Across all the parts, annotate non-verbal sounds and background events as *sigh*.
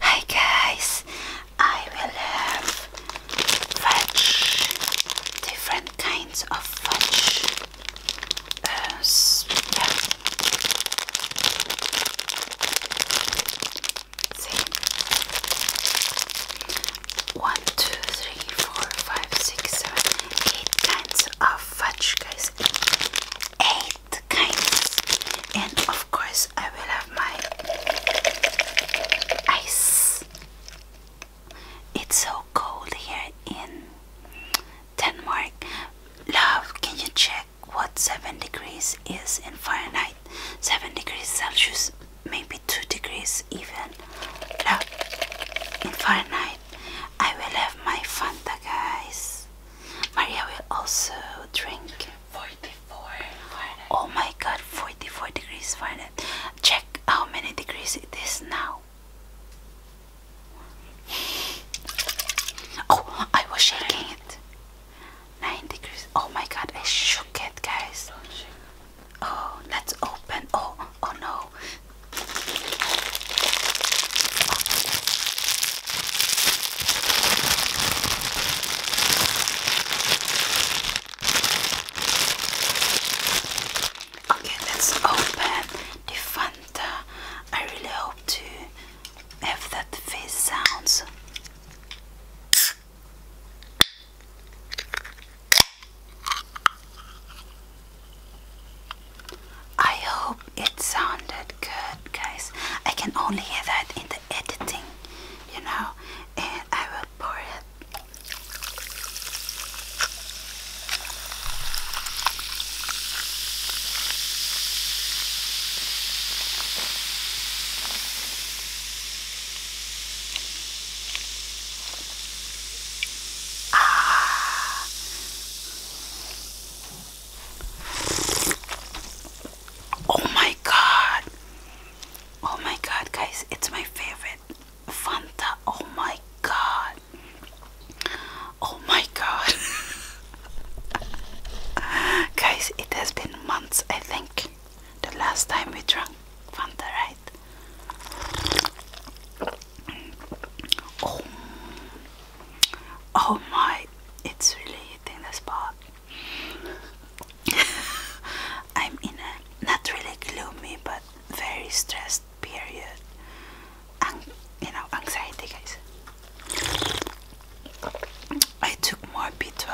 Hi guys, I will have fudge, different kinds of fudge. Uh, One, two, three, four, five, six, seven, eight kinds of fudge, guys. Eight kinds, and of course, I will have my ice. It's so cold here in Denmark. Love, can you check what 7 degrees is in Fahrenheit? 7 degrees Celsius, maybe 2 degrees even. Love, in Fahrenheit, I will have my Fanta, guys. Maria will also drink Oh my god, 44 degrees Fahrenheit. Check how many degrees it is now. Oh, I was shaking it. 9 degrees. Oh my god, I shook it, guys. Oh, let's open. Oh, oh no. Okay, let's open the Fanta. I really hope to have that face sounds. I hope it sounded good, guys. I can only hear that in the editing, you know, and I will pour it. Ah. Oh my god. Oh my god, guys, it's my favorite. Fanta. Oh my god. Oh my god. *laughs* guys, it has been months, I think. The last time we drank Fanta, right? Oh. Oh my, it's really hitting the spot. *laughs* I'm in a not really gloomy but very stressed period. An you know, anxiety, guys. I took more B12.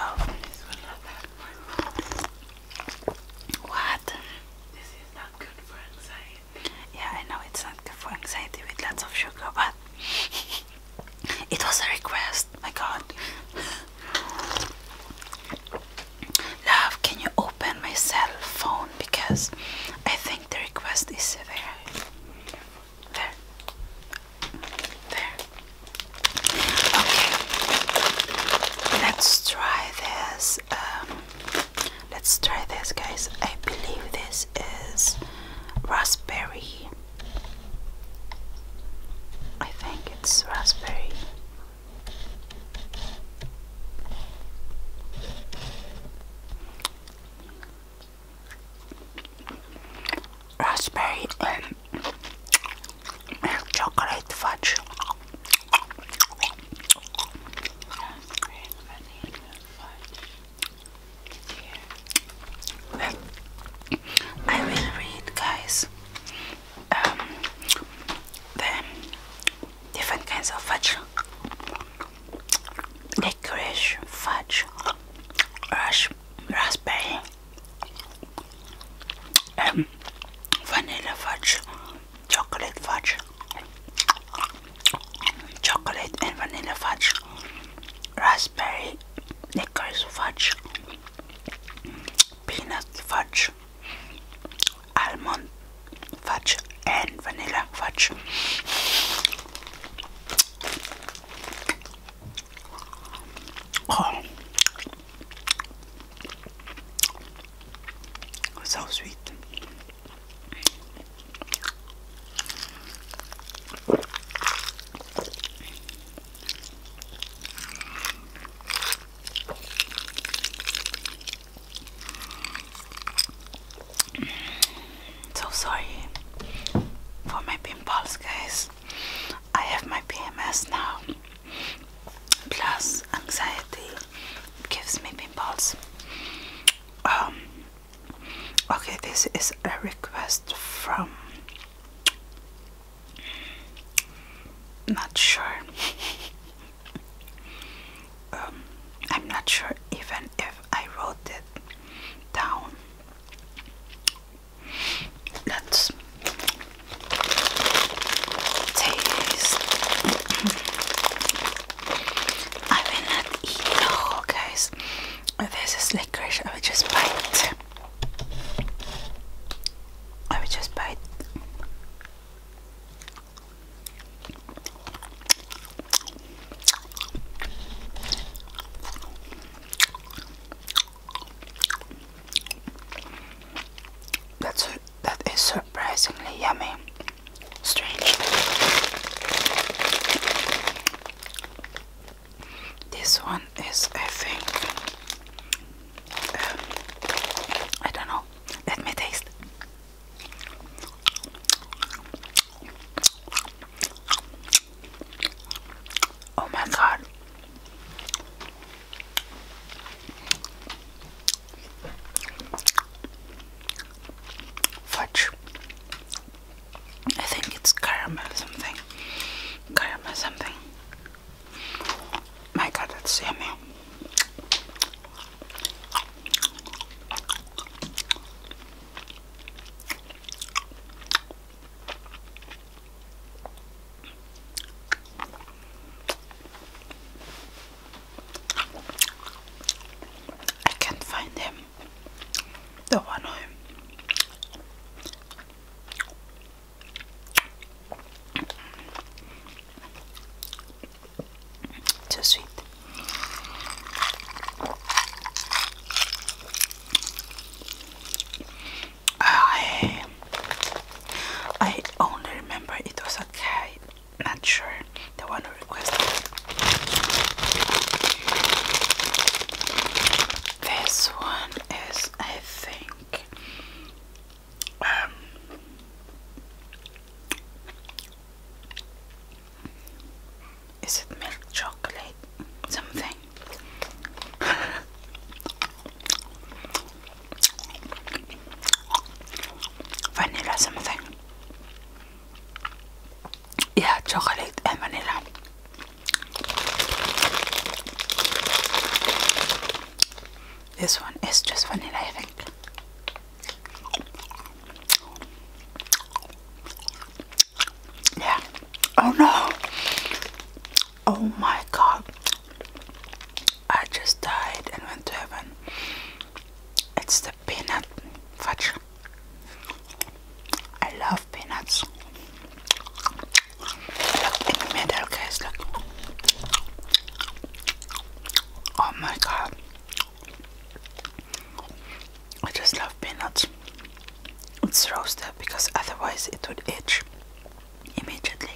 What? This is not good for anxiety. Yeah, I know it's not good for anxiety with lots of sugar, but *laughs* It was a request, my god. Love, can you open my cell phone? Because I think the request is there. There. There. Okay. Let's try this. Um, let's try this, guys. I believe this is raspberry I think it's raspberry. Raspberry and milk chocolate fudge. fudge. I will read, guys, um, the different kinds of fudge licorice, fudge, rush, raspberry, um, vanilla fudge, chocolate fudge chocolate and vanilla fudge, raspberry licorice fudge, peanut fudge, almond fudge, and vanilla fudge. Oh, so sweet. So sorry for my pimples, guys. I have my PMS now, plus anxiety gives me pimples. Um, Okay, this is a request from. Not sure. *laughs* um, I'm not sure even if I wrote it down. Let's taste. *laughs* I will not eat the oh, whole, guys. This is licorice. I will just bite. I will just bite. That's that is surprisingly yummy strange. This one is, I think, um, I don't know. Let me taste. Oh my god. Fudge. I think it's caramel something. Caramel something. My god, that's yummy. I can't find him. Då var noin. So sweet. I I only remember it was okay. not sure the one who requested this one is I think um, is it milk chocolate something *laughs* vanilla something yeah, chocolate and vanilla. This one is just vanilla, I think. Yeah. Oh no. Oh my god. I just died and went to heaven. It's peanut fudge. I love peanuts. Look in the middle, guys. Look. Oh my god. I just love peanuts. It's roasted because otherwise it would itch immediately.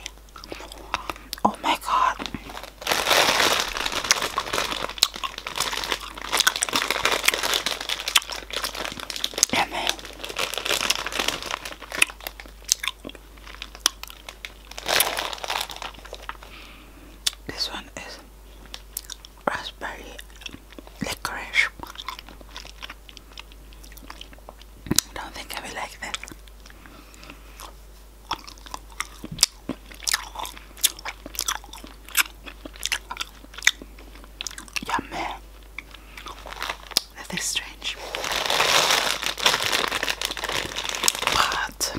Oh my god. This one is raspberry licorice. don't think I will like that. Yummy. That is strange. But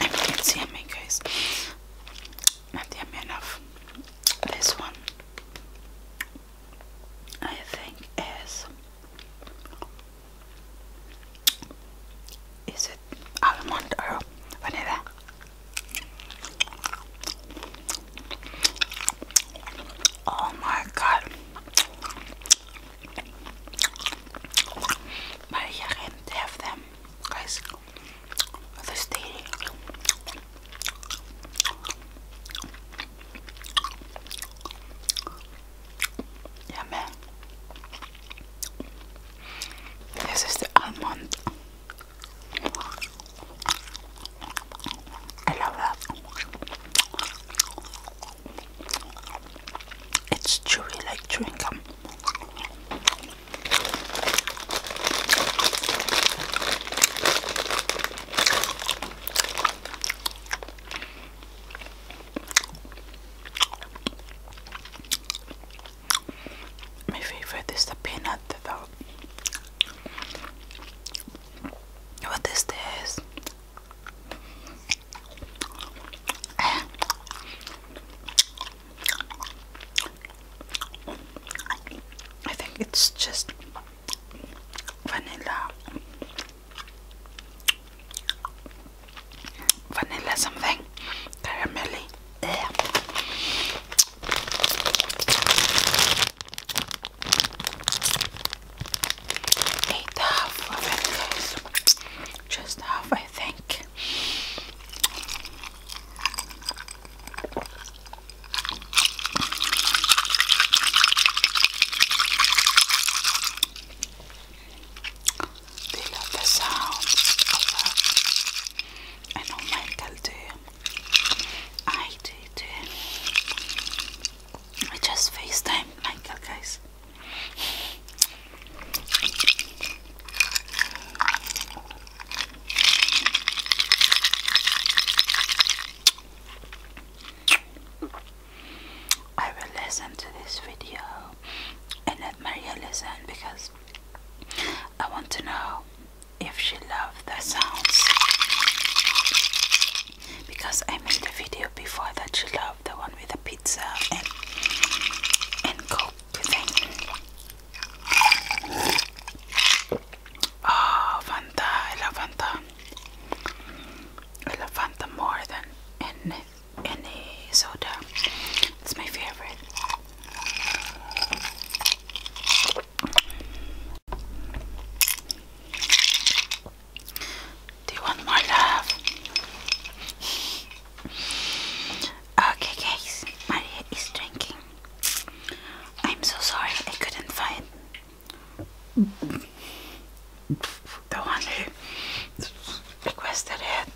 I mean, it's yummy, guys. Not yummy enough. This one, I think, is is it almond or vanilla? Oh my god. Maria can't have them, guys. This dairy. Yeah, This is the almond. I love that. It's chewy like chewing gum. My favorite is the peanut though. What is this? I think it's just vanilla vanilla something, caramelly. Yeah. Eight half of it, guys. Just half, I think. They love the sound. I know Michael do. I do too. I just FaceTime Michael, guys. I will listen to this video and let Maria listen because I want to know if she loved the sounds because I made a video before that she loved the one with the pizza and and coke thing. Oh Fanta, I love Fanta. Elefanta more than any, any soda. It's my favorite. Do you want more love? Okay, guys, Maria is drinking. I'm so sorry I couldn't find the one who requested it.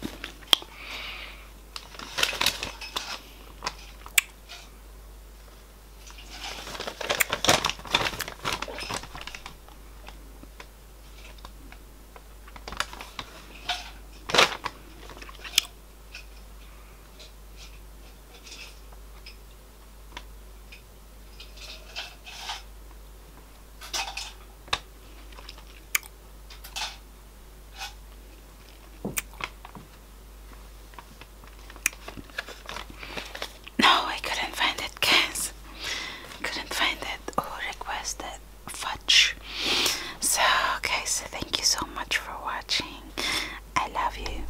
No, I couldn't find it, guys. Couldn't find it or request fudge. So, guys, thank you so much for watching. I love you.